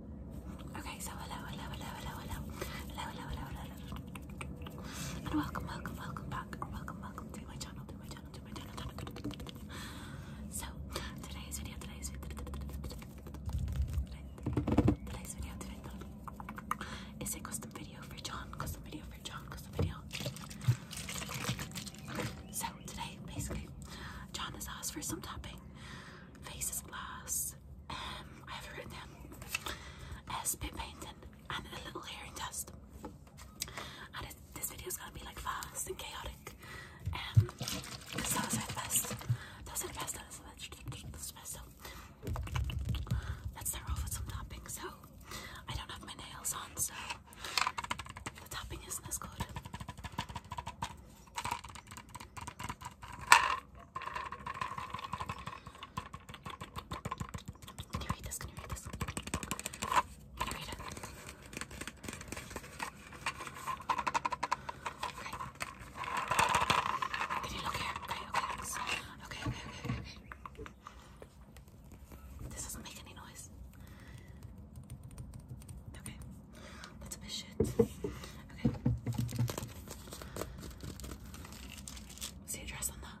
Okay, so hello, hello, hello, hello, hello, hello, hello, hello, hello, and welcome, welcome, welcome back, welcome, welcome to my channel, to my channel, to my channel. So today's video, today's video, today's video, today's video is a custom video for John, custom video for John, custom video. So today, basically, John has asked for some tapping faces glass. Um, I have written them. a spit painting and a little hearing test. this video is gonna be like fast and chaotic. Um, because those are the best. Those are the best. Those are the best. So let's start off with some topping. So I don't have my nails on, so the topping isn't as good. Can you read this? Can you read this? Can you read it? Okay. Can you look here? Okay, okay, okay, okay, okay, okay. This doesn't make any noise. Okay. That's a bit shit. Okay. See a on that?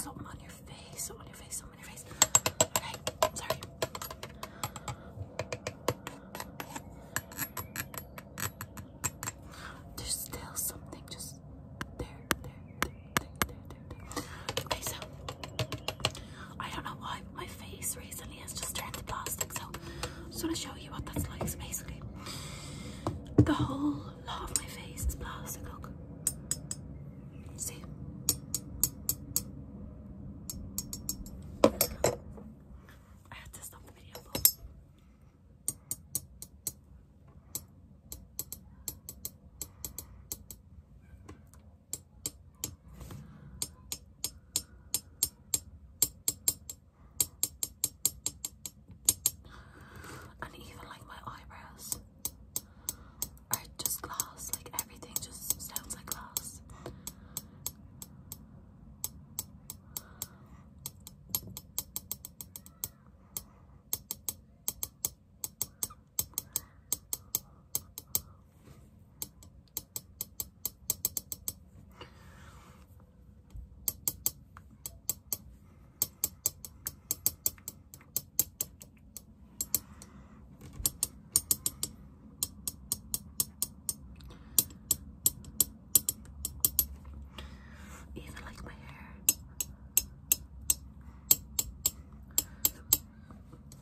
Something on your face, on your face, on your face. Okay, sorry. There's still something just there, there, there, there, there, there. Okay, so I don't know why, my face recently has just turned to plastic. So I just want to show you what that's like. So basically, the whole lot of my face is plastic. Look, see. I had to stop the video. And even like my eyebrows are just glass, like everything just sounds like glass. Even like my hair.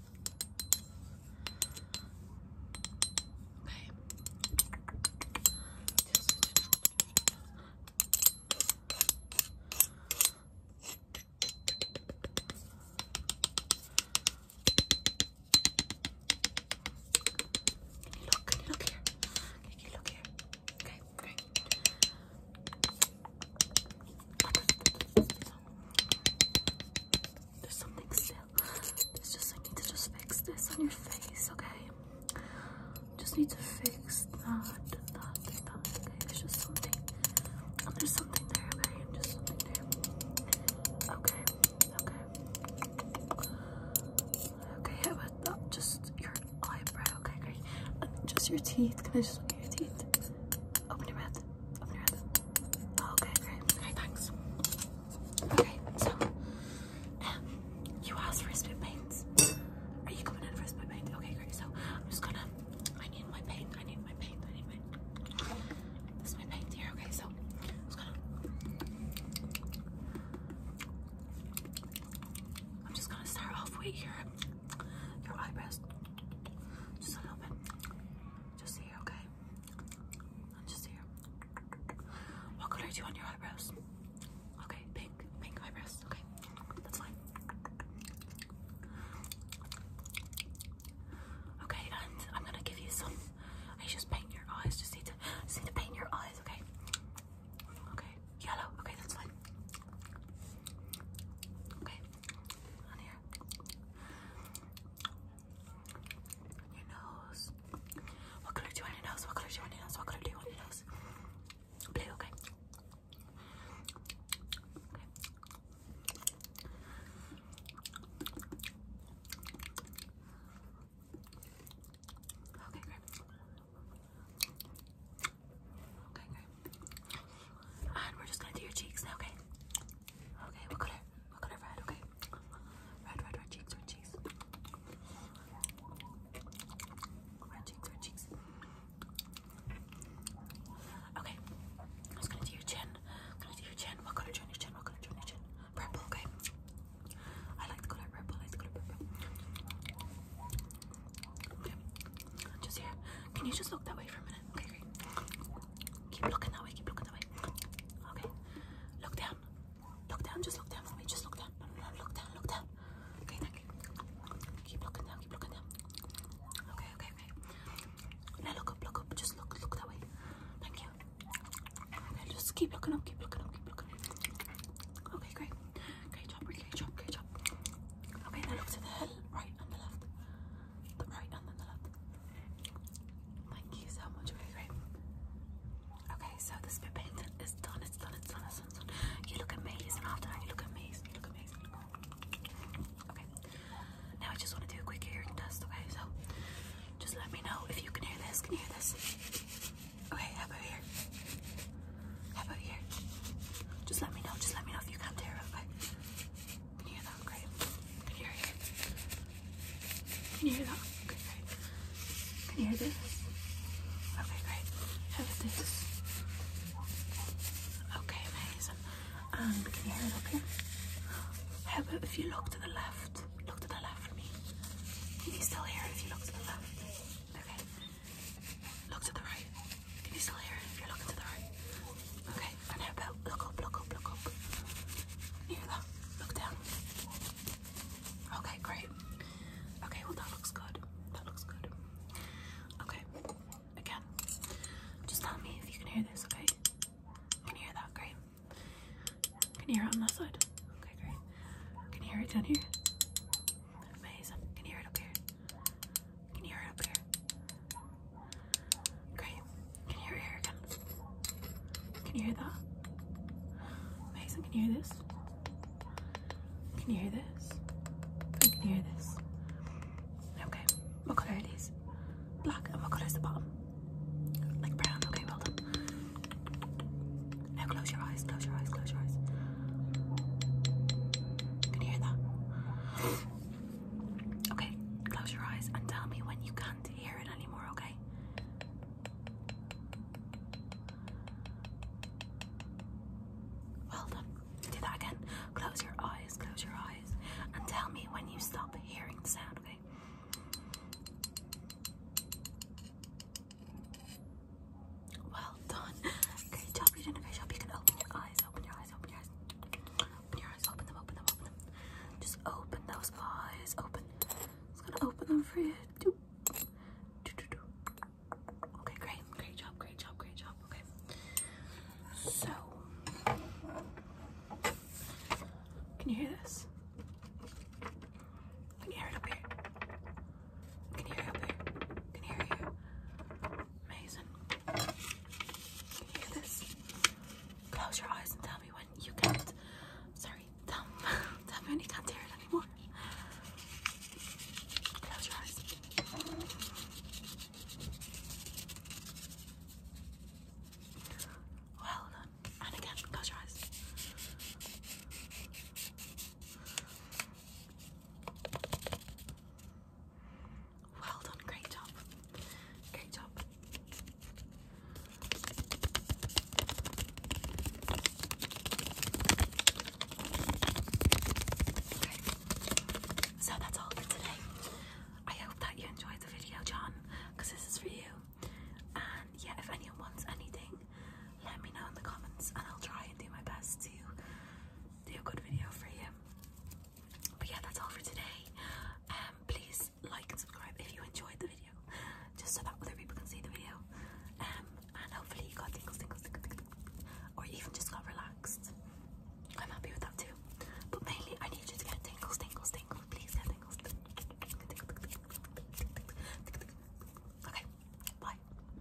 Okay. Can you look? Can you look here? Can you look here? Okay, great. Okay. There's something still. It's just I need to just fix this on your face, okay? Just need to fix that, that, that. Okay, it's just something. Oh, there's something there, okay? Just something there. Okay, okay. Okay, how about that? Just your eyebrow, okay, great. just your teeth. Can I just look at your teeth? Open your mouth. Open your mouth. Oh, okay, great. Okay, thanks. Okay, so um, you asked for spit paints. Are you coming in for a spit Okay, great. So I'm just gonna. I need my paint. I need my paint. I need my. This is my paint here. Okay, so I'm just gonna. I'm just gonna start off with your your eyebrows. Just a little bit. Just here, okay? I'm just here. What color do you want your eyebrows? Okay, pink, pink eyebrows. Okay, that's fine. Okay, and I'm gonna give you some. I just paint your eyes. Just need to just need to paint your eyes. Okay. Okay, yellow. Okay, that's fine. Okay, and here. Your nose. What color do you want your nose? What color do you want your nose? What color do you want nose? okay. Okay, okay Okay, and we're just gonna do your cheeks now, okay? Okay, what color? What color red, okay? Red, red, red cheeks, red cheeks. Red cheeks, red cheeks. Okay. I'm just gonna do your chin. I'm gonna do your chin. What color chin? Your chin, what color chin? Your chin. Purple, okay? I like the color purple, I like the color purple. Okay. Just here. Can you just look that way for a minute? Okay, great. Keep looking that way. Keep looking that way. Okay. Look down. Look down. Just look down for me. Just look down. Look down. Look down. Okay, thank you. Keep looking down. Keep looking down. Okay, okay, okay. Now look up. Look up. Just look. Look that way. Thank you. Okay, just keep looking up. Keep looking up. Keep looking up. Okay, great. Great job. Great job. Great job. Okay, now look to the right and the left. Thank you so much, very great. Okay, so the spit painting is done, it's done, it's done, it's done, it's done. You look amazing after you look amazing, you look amazing. Okay, now I just want to do a quick hearing test, okay? So just let me know if you can hear this, can hear this? Okay, how about here? How about here? Just let me know, just let me know if you can hear it, okay? Can you hear that? Great. Can you hear it? Can you hear that? Okay, great. Can you hear this? Okay, great. How about this? Okay, amazing. And can you hear it up How about if you look to the left? Look to the left for me. Can you still hear it if you look to the left? Okay. Look to the right. Can you still hear it if you're looking to the right? Okay, and how about look up, look up, look up. Near that. Look down. Okay, great. Okay, well that looks good. That looks good. Okay. Again. Just tell me if you can hear this, okay? Can you hear that? Great. Can you hear it on that side? Okay, great. Can you hear it down here? Amazing. Can you hear it up here? Can you hear it up here? Great. Can you hear it again? Can you hear that? Amazing. Can you hear this? Can you hear this? I can hear this. Okay. What color are these? Black. And what color is the bottom? Like brown. Okay, well done. Now close your eyes. Close your eyes. Close your eyes. Can hear that? Okay, close your eyes and tell me when you can't hear it anymore, okay? Well done. Do that again. Close your eyes, close your eyes, and tell me when you stop hearing the sound, okay? Well done. Great job. You did a job. You can open your eyes. Open your eyes. Open your eyes. Open your eyes. Open them. Open them. Open them. Just open those eyes. Open. It's gonna open them for you. Do. Do, do, do. Okay, great. Great job. Great job. Great job. Okay. So, can you hear this? Can you hear it up here? Can you hear up here? Can hear you? Amazing. Can you hear this? Close your eyes and tell me when you can't. Sorry, tell, tell me when you can't hear it anymore. Close your eyes. Well done. And again, close your eyes. Well done, great job. Great job. So that's all for today. I hope that you enjoyed the video, John, because this is for you. And yeah, if anyone wants anything, let me know in the comments and I'll try and do my best to do a good video for you. But yeah, that's all for today. please like and subscribe if you enjoyed the video, just so that other people can see the video. and hopefully you got tingles, tingles, tingles, or even just got relaxed. I'm happy with that too. But mainly, I need you to get tingles, tingles, tingles. Please get tingles. Okay, bye.